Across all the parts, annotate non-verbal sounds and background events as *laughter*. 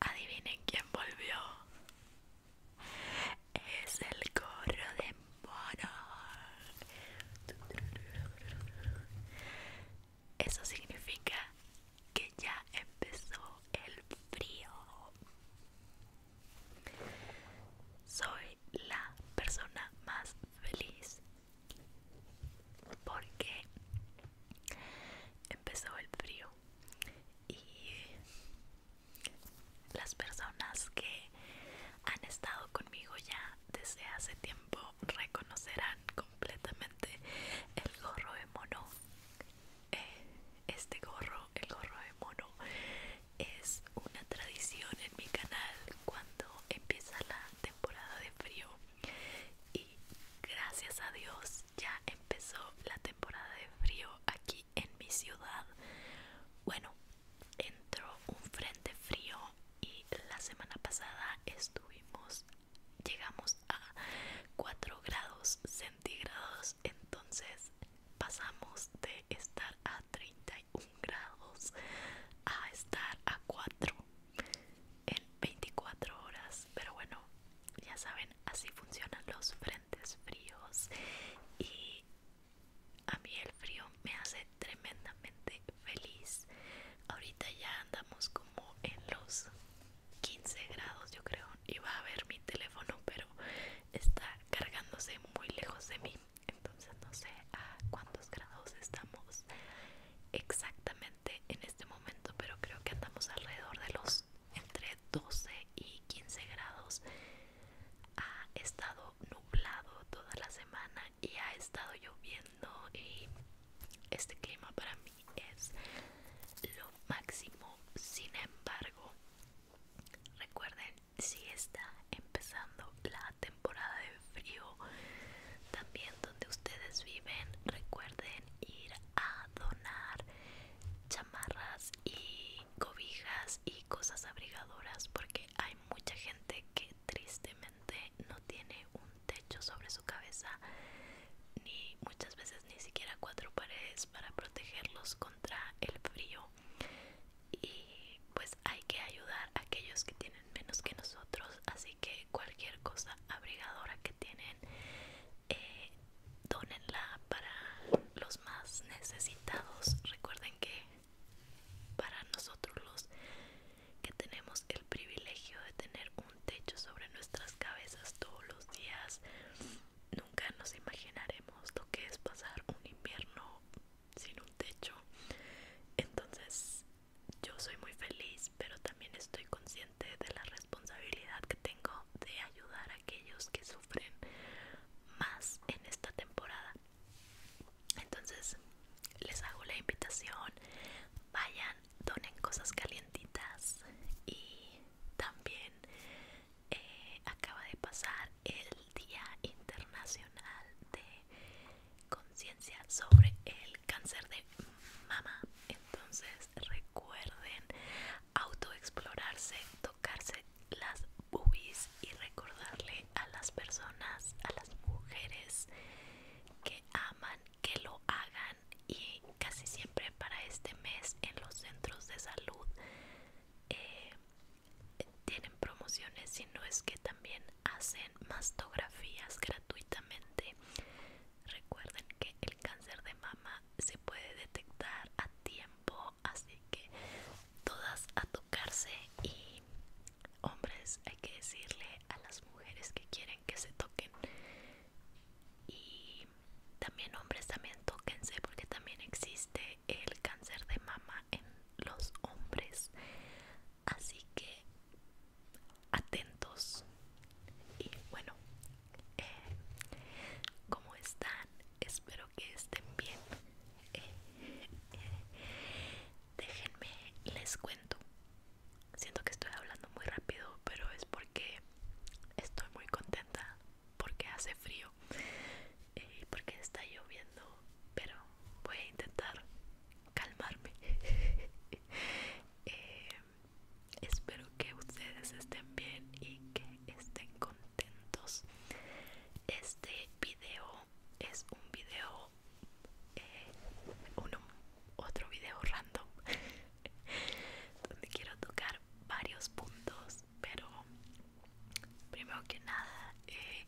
Adivinen quién volvió. Es el coro de morar. Eso significa que ya empezó el frío. Soy la persona más feliz porque empezó el frío y las personas que han estado conmigo ya desde hace tiempo reconocerán completamente el gorro de mono. Eh, este gorro, el gorro de mono, es una tradición en mi canal cuando empieza la temporada de frío. Y gracias a Dios ya empezó la temporada de frío aquí en mi ciudad. Bueno, entró un frente frío y la semana pasada estuvimos, llegamos a 4 grados centígrados, entonces pasamos de estar a 31 grados a estar a 4 en 24 horas pero bueno ya saben así funcionan los frentes fríos y a mí el frío me hace tremendamente feliz ahorita ya andamos como en los 15 grados yo creo Y va a ver mi teléfono pero está cargándose muy lejos de mí entonces no sé a cuántos grados estamos exactamente en este momento, pero creo que andamos alrededor de los entre 12 y 15 grados. Ha estado nublado toda la semana y ha estado lloviendo y este clima para mí es lo máximo. Sin embargo, recuerden si está empezando la temporada temporada de frío también donde ustedes viven recuerden ir a donar chamarras y cobijas y cosas abrigadoras porque hay mucha gente que tristemente no tiene un techo sobre su cabeza ni muchas veces ni siquiera cuatro paredes para protegerlos contra el frío y pues hay que ayudar a aquellos que tienen menos que nosotros así que cualquier cosa abrigadora que tienen eh, donenla para los más necesitados recuerden que para nosotros los que tenemos el privilegio de tener un techo sobre nuestras cabezas todos los días nunca nos imaginaremos lo que es pasar un invierno sin un techo entonces yo soy muy feliz, pero también estoy consciente de la responsabilidad que tengo de ayudar a aquellos que sufren más en esta temporada. Entonces, les hago la invitación, vayan, donen cosas calientitas y también eh, acaba de pasar el Día Internacional de Conciencia sobre el cáncer de mama. Entonces recuerden autoexplorarse, tocarse las boobies y recordarle a las personas, a las mujeres que aman, que lo hagan y casi siempre para este mes en los centros de salud eh, tienen promociones, si no es que también hacen mastografías gratuitamente. Recuerden que el cáncer de mama se puede detectar a tiempo, así que todas a tocarse y hombres hay que decirle a las mujeres que quieren que se toquen y también hombres también tóquense porque también existe el cáncer de mama en los hombres Así que atentos. Y bueno, eh, ¿cómo están? Espero que estén bien. Eh, eh, déjenme, les cuento. Siento que estoy hablando muy rápido, pero es porque estoy muy contenta, porque hace frío y porque está lloviendo. Pero voy a intentar calmarme *laughs* eh, espero que ustedes estén bien y que estén contentos este video es un video eh, otro video random *laughs* donde quiero tocar varios puntos pero primero que nada eh,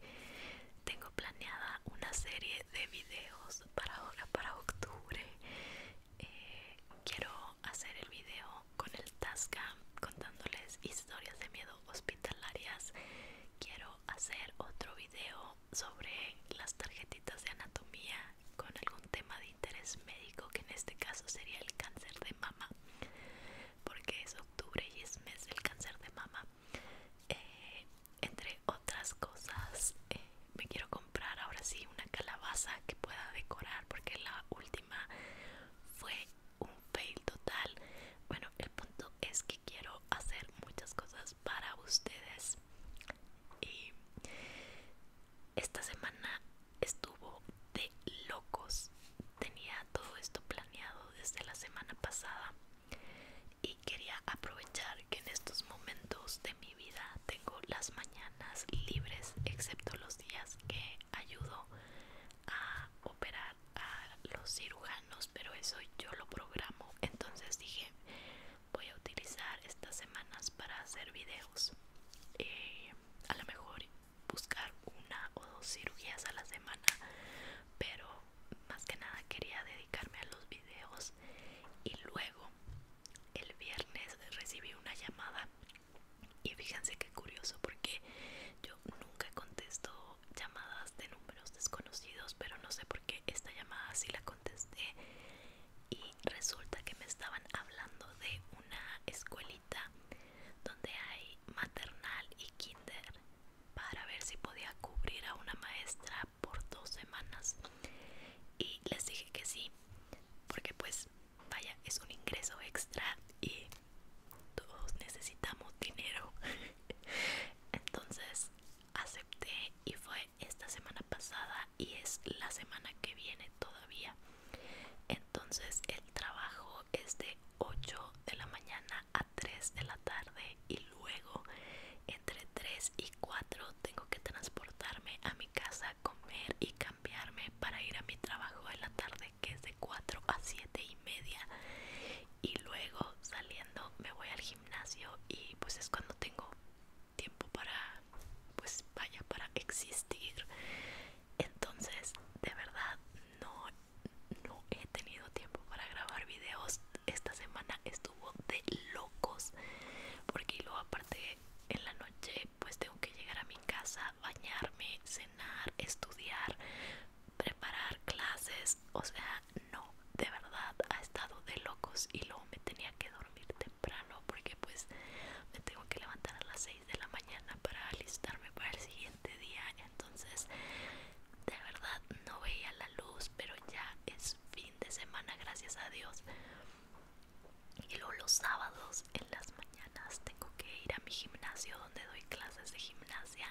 tengo planeada una serie de videos para ahora, para octubre. Eh, quiero hacer el video con el Tascam contándoles historias de miedo hospitalarias. Quiero hacer otro video sobre las tarjetitas de anatomía con algún tema de interés médico que en este caso sería el cáncer de mama porque es octubre y es mes del cáncer de mama eh, entre otras cosas eh, me quiero comprar ahora sí una calabaza que pueda decorar porque la última fue un fail total bueno el punto es que quiero hacer muchas cosas para ustedes y esta semana estuvo de locos tenía todo esto planeado desde la semana pasada y quería aprovechar que en estos momentos de mi vida tengo las mañanas libres excepto los días que ayudo a operar a los cirujanos pero eso yo lo programo entonces dije voy a utilizar estas semanas para hacer videos eh, a lo mejor buscar una o dos cirugías a la semana pero más que nada quería dedicarme a los videos y luego el viernes recibí una llamada y fíjense qué curioso porque yo nunca contesto llamadas de números desconocidos pero no sé por qué esta llamada sí la contesté y resulta que me estaban hablando de una escuelita donde hay maternal y kinder para ver si podía cubrir a una maestra por dos semanas y les dije que sí porque pues vaya es un ingreso extra y todos necesitamos dinero *laughs* entonces acepté y fue esta semana pasada y es la semana que viene todavía entonces el trabajo es de 8 de la mañana a 3 de la tarde y luego entre 3 y cuatro tengo que transportarme a mi casa, comer y cambiarme para ir a mi trabajo en la tarde que es de 4 a 7 y media y luego saliendo me voy al gimnasio y pues es cuando tengo tiempo para pues vaya para existir entonces de verdad no no he tenido tiempo para grabar videos esta semana estuvo de locos porque luego aparte en la noche pues tengo que llegar a mi casa, bañarme, cenar, estudiar, preparar clases, o sea, no, de verdad ha estado de locos y luego me tenía que dormir temprano porque pues me tengo que levantar a las 6 de la mañana para alistarme para el siguiente día, entonces de verdad no veía la luz, pero ya es de semana, gracias a Dios. Y luego los sábados en las mañanas tengo que ir a mi gimnasio donde doy clases de gimnasia.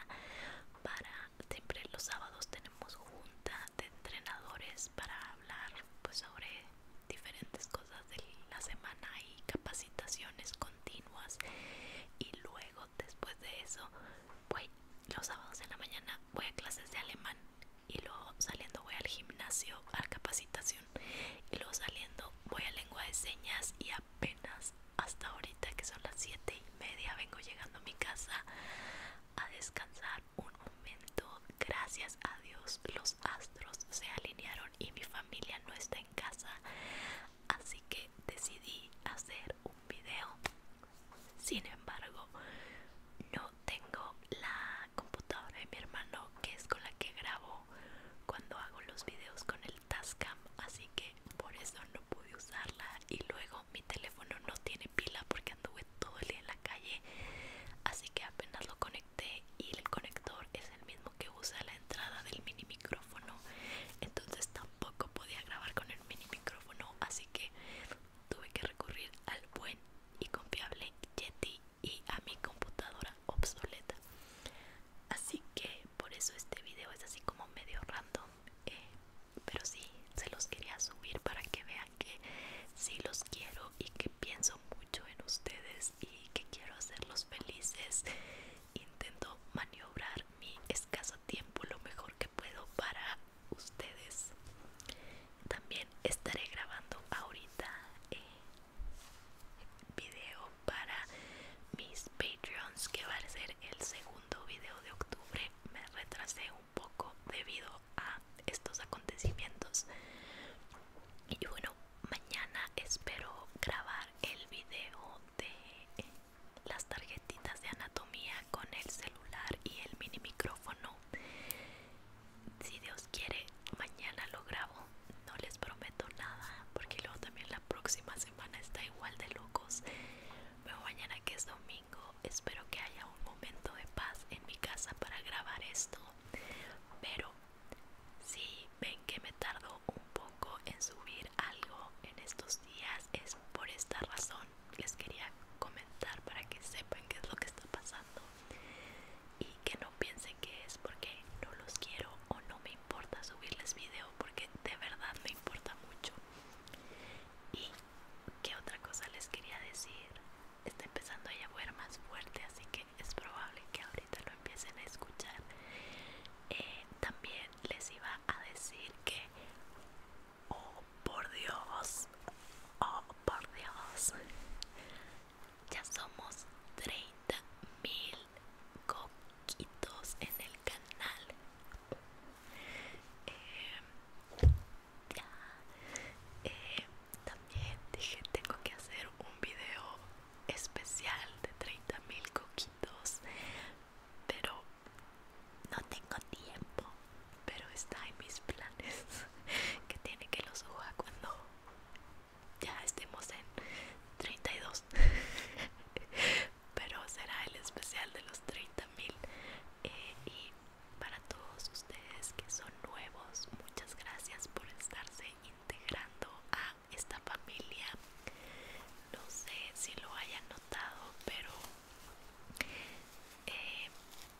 Para siempre los sábados tenemos junta de entrenadores para hablar pues, sobre diferentes cosas de la semana y capacitaciones continuas. Y luego después de eso voy los sábados de la mañana voy a clases de alemán y luego saliendo voy al gimnasio a capacitación y luego saliendo voy a lengua de señas y apenas hasta ahorita que son las siete y media vengo llegando a mi casa a descansar un momento gracias a Dios los astros se alinearon y mi familia no está en casa así que decidí hacer un video sin embargo no tengo la computadora de mi hermano que es con la que grabo cuando hago los videos con el Tascam así que por eso no pude usarla y luego mi teléfono no tiene pila porque anduve todo el día en la calle así que apenas lo conecté y el conector es el mismo que usa la entrada del mini micrófono entonces tampoco podía grabar con el mini micrófono así que tuve que recurrir al buen y confiable Yeti y a mi computadora obsoleta. Así que por eso este video es así como medio random. Eh, pero sí, se los quería subir para que vean que sí los quiero y que pienso mucho en ustedes y que quiero hacerlos felices. Intento maniobrar mi escaso tiempo lo mejor que puedo para ustedes también estaré grabando ahorita el eh, video para mis patreons que va a ser el segundo video de octubre me retrasé un poco debido a estos acontecimientos y bueno mañana espero grabar el video de eh, las tarjetas de anatomía con el celular y el mini micrófono. Si Dios quiere, mañana lo grabo. No les prometo nada, porque luego también la próxima semana está igual de locos. Pero mañana que es domingo, espero que haya un momento de paz en mi casa para grabar esto. Pero si ven que me tardo un poco en subir algo en estos días, es por esta razón les quería comentar para que sepan qué es lo que está pasando y que no piensen que es porque no los quiero o no me importa subirles video porque de verdad me importa mucho y qué otra cosa les quería decir está empezando a llover más fuerte así que es probable que ahorita lo empiecen a escuchar eh, también les iba a decir que Oh, por Dios. Oh, por Dios. Ya somos 30 mil coquitos en el canal. Eh, ya. Eh, también dije tengo que hacer un video especial de 30.000 mil coquitos. Pero no tengo tiempo, pero está en mis planes *laughs* que tiene que los suba cuando ya estemos en 32. *laughs* pero será el especial de los 30 mil. Eh, y para todos ustedes que son nuevos, muchas gracias por estarse integrando a esta familia. No sé si lo hayan notado, pero eh,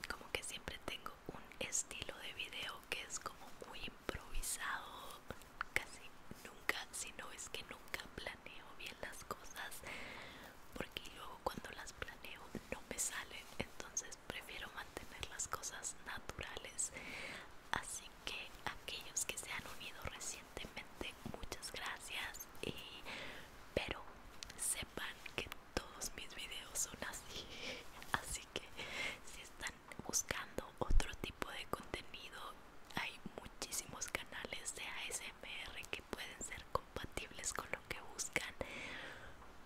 como que siempre tengo un estilo de video que es como muy improvisado casi nunca si no es que nunca planeo bien las cosas porque luego cuando las planeo no me salen entonces prefiero mantener las cosas naturales así que aquellos que se han unido recientemente muchas gracias y, pero sepan que todos mis videos son así *laughs* así que si están buscando otro tipo de contenido hay muchísimos canales de ASMR que pueden ser compatibles con lo que buscan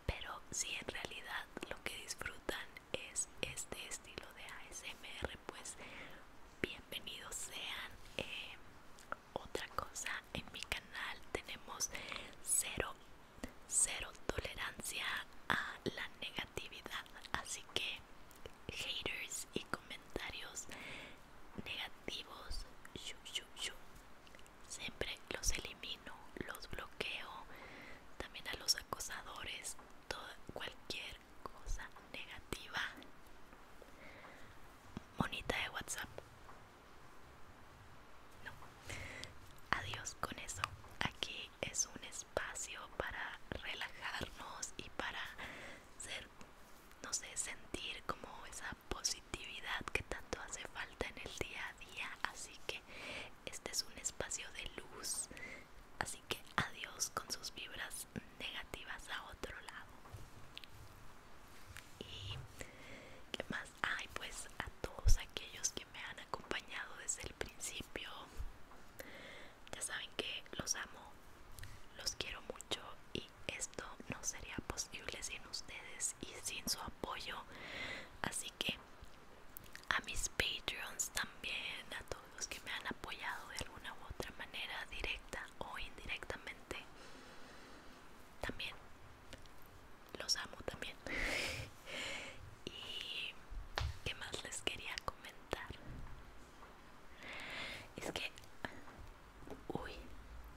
pero si en realidad lo que disfrutan es este estilo de ASMR pues bienvenidos sean eh, otra cosa en mi canal tenemos cero cero tolerancia a la negatividad así que haters y comentarios negativos siempre los elimino los bloqueo también a los acosadores cualquier cosa negativa monita de whatsapp Adiós con eso. Aquí es un espacio para relajarnos y para ser, no sé, sentir como esa positividad que tanto hace falta en el día a día. Así que este es un espacio de luz. Así que adiós con sus vibras negativas a otro lado y qué más hay pues a todos aquellos que me han acompañado desde el principio ya saben que los amo los quiero mucho y esto no sería posible sin ustedes y sin su apoyo así que a mis patreons también a todos los que me han apoyado de alguna u otra manera directa o indirectamente también los amo también *laughs* y qué más les quería comentar es que uy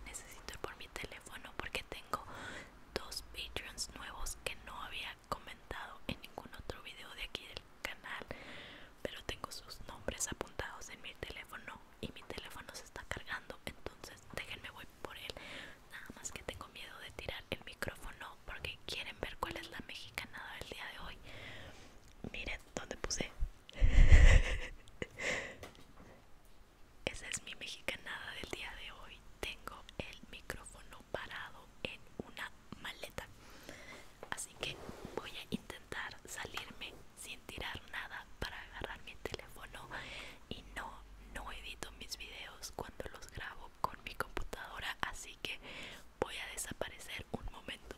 necesito ir por mi teléfono porque tengo dos patreons nuevos que no había comentado en ningún otro video de aquí del canal pero tengo sus nombres apuntados en mi teléfono y mi teléfono se está cargando entonces déjenme voy por él nada más que tengo miedo de tirar el micrófono porque quieren ver cuál es la mexicanada del día de hoy miren dónde puse *laughs* esa es mi mexicanada del día de hoy tengo el micrófono parado en una maleta así que voy a intentar salirme sin tirar nada para agarrar mi teléfono y no no edito mis videos cuando los grabo con mi computadora así que voy a desaparecer un momento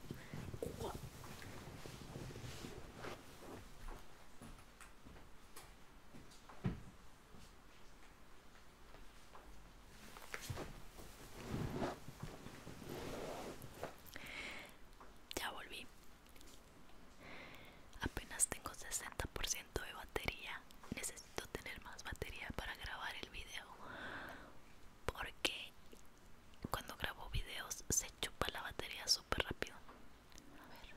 ya volví Apenas tengo 60% de batería. Necesito tener más batería para grabar el video. Porque cuando grabo videos se chupa la batería súper rápido. A ver.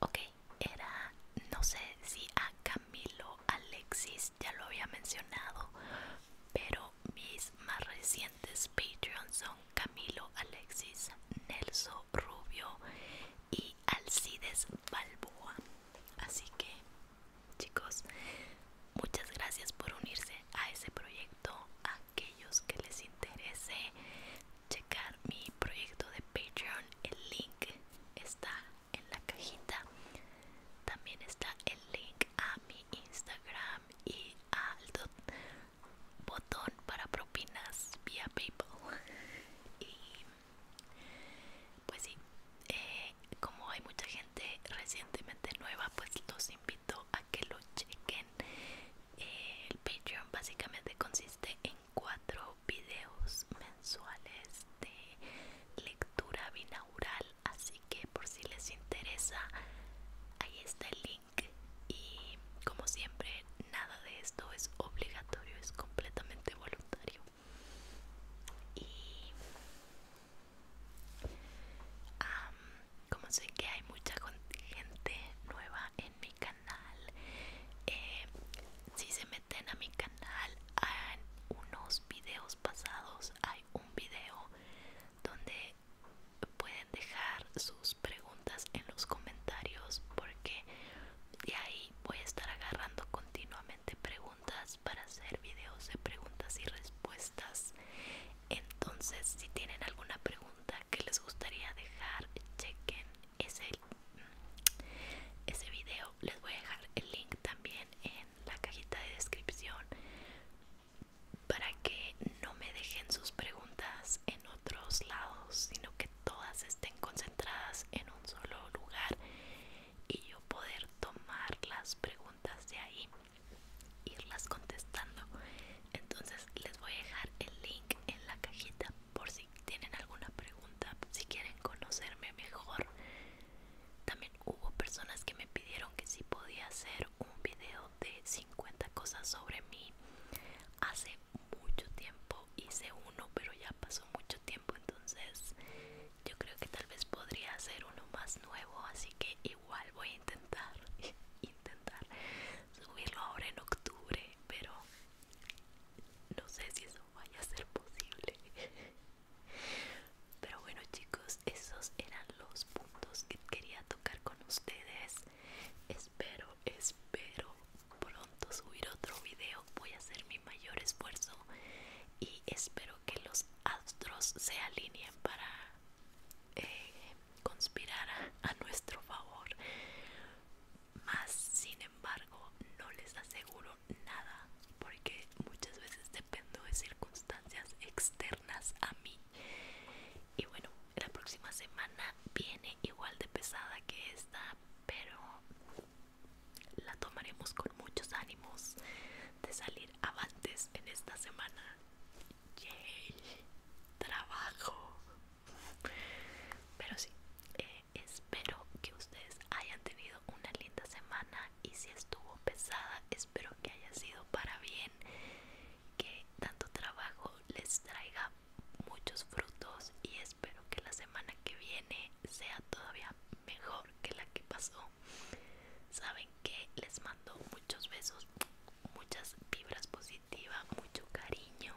Ok, era, no sé si a Camilo Alexis ya lo había mencionado, pero mis más recientes Patreons son Camilo Alexis, Nelson Rubio y Alcides Balboa. Así que, chicos, muchas gracias por unirse a ese proyecto. A aquellos que les interese checar mi proyecto de Patreon, el link está en la cajita. También está el link a mi Instagram y al botón para propinas vía PayPal. *laughs* Y pues sí, eh, como hay mucha gente recientemente nueva, pues los invito a que lo chequen. Eh, el Patreon básicamente consiste en cuatro videos mensuales de lectura binaural, así que por si les interesa, ahí está el link y como siempre nada de esto es obligatorio, es completamente voluntario. Y como sé que hay mucha gente nueva en mi canal, eh, si se meten a mi canal en unos videos pasados hay un video donde puedes dejar sus preguntas en los comentarios porque de ahí voy a estar agarrando continuamente preguntas para hacer videos de preguntas y respuestas. Entonces, si tienen alguna pregunta que les gustaría dejar, chequen ese, mm, ese video. Les voy a dejar el link también en la cajita de descripción para que no me dejen sus preguntas en otros lados, sino que todas estén concentradas en un solo lugar y yo poder tomar las preguntas de ahí, irlas contestando. Entonces les voy a dejar el link en la cajita por si tienen alguna pregunta, si quieren conocerme mejor. También hubo personas que me pidieron que si podía hacer un video de 50 cosas sobre mí hace mucho tiempo hice uno pero ya pasó mucho tiempo entonces yo creo que tal vez podría hacer uno más nuevo así que igual voy a intentar *laughs* intentar subirlo ahora en octubre pero no sé si eso vaya a ser posible *laughs* pero bueno chicos esos eran los puntos que quería tocar con ustedes Espero, espero pronto subir otro video. Voy a hacer mi mayor esfuerzo y espero que los astros se alineen para eh, conspirar a, a nuestro favor. Más sin embargo, no les aseguro nada porque muchas veces dependo de circunstancias externas a mí y bueno, la próxima semana viene igual de pesada que esta, pero la tomaremos con muchos ánimos de salir avantes en esta semana. ¡Yay! ¡Trabajo! Pero sí, eh, espero que ustedes hayan tenido una linda semana y si estuvo pesada, espero que haya sido para bien que tanto trabajo les traiga muchos frutos y espero que la semana que viene sea todavía mejor que la que pasó. Saben que les mando muchos besos, muchas vibras positivas, mucho cariño.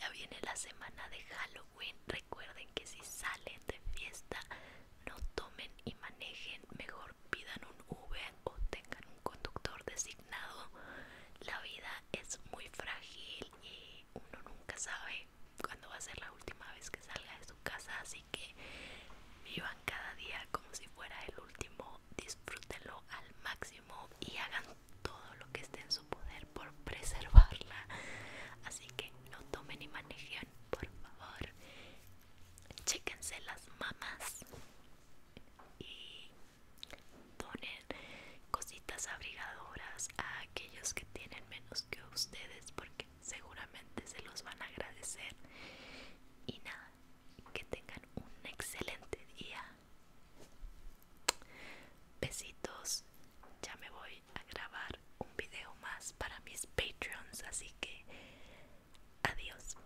Ya viene la semana de Halloween. Recuerden que si salen de fiesta, no tomen y manejen. Mejor pidan un V o tengan un conductor de nada La vida es muy frágil y uno nunca sabe cuándo va a ser la última vez que salga de su casa, así que vivan cada día como si fuera el último, disfrútenlo al máximo y hagan todo lo que esté en su poder por preservarla. Así que no tomen ni manejen, por favor. Chéquense las mamás y Donen cositas abrigadoras a aquellos que tienen menos que ustedes porque seguramente se los van a agradecer y nada que tengan un excelente día besitos ya me voy a grabar un video más para mis patreons así que adiós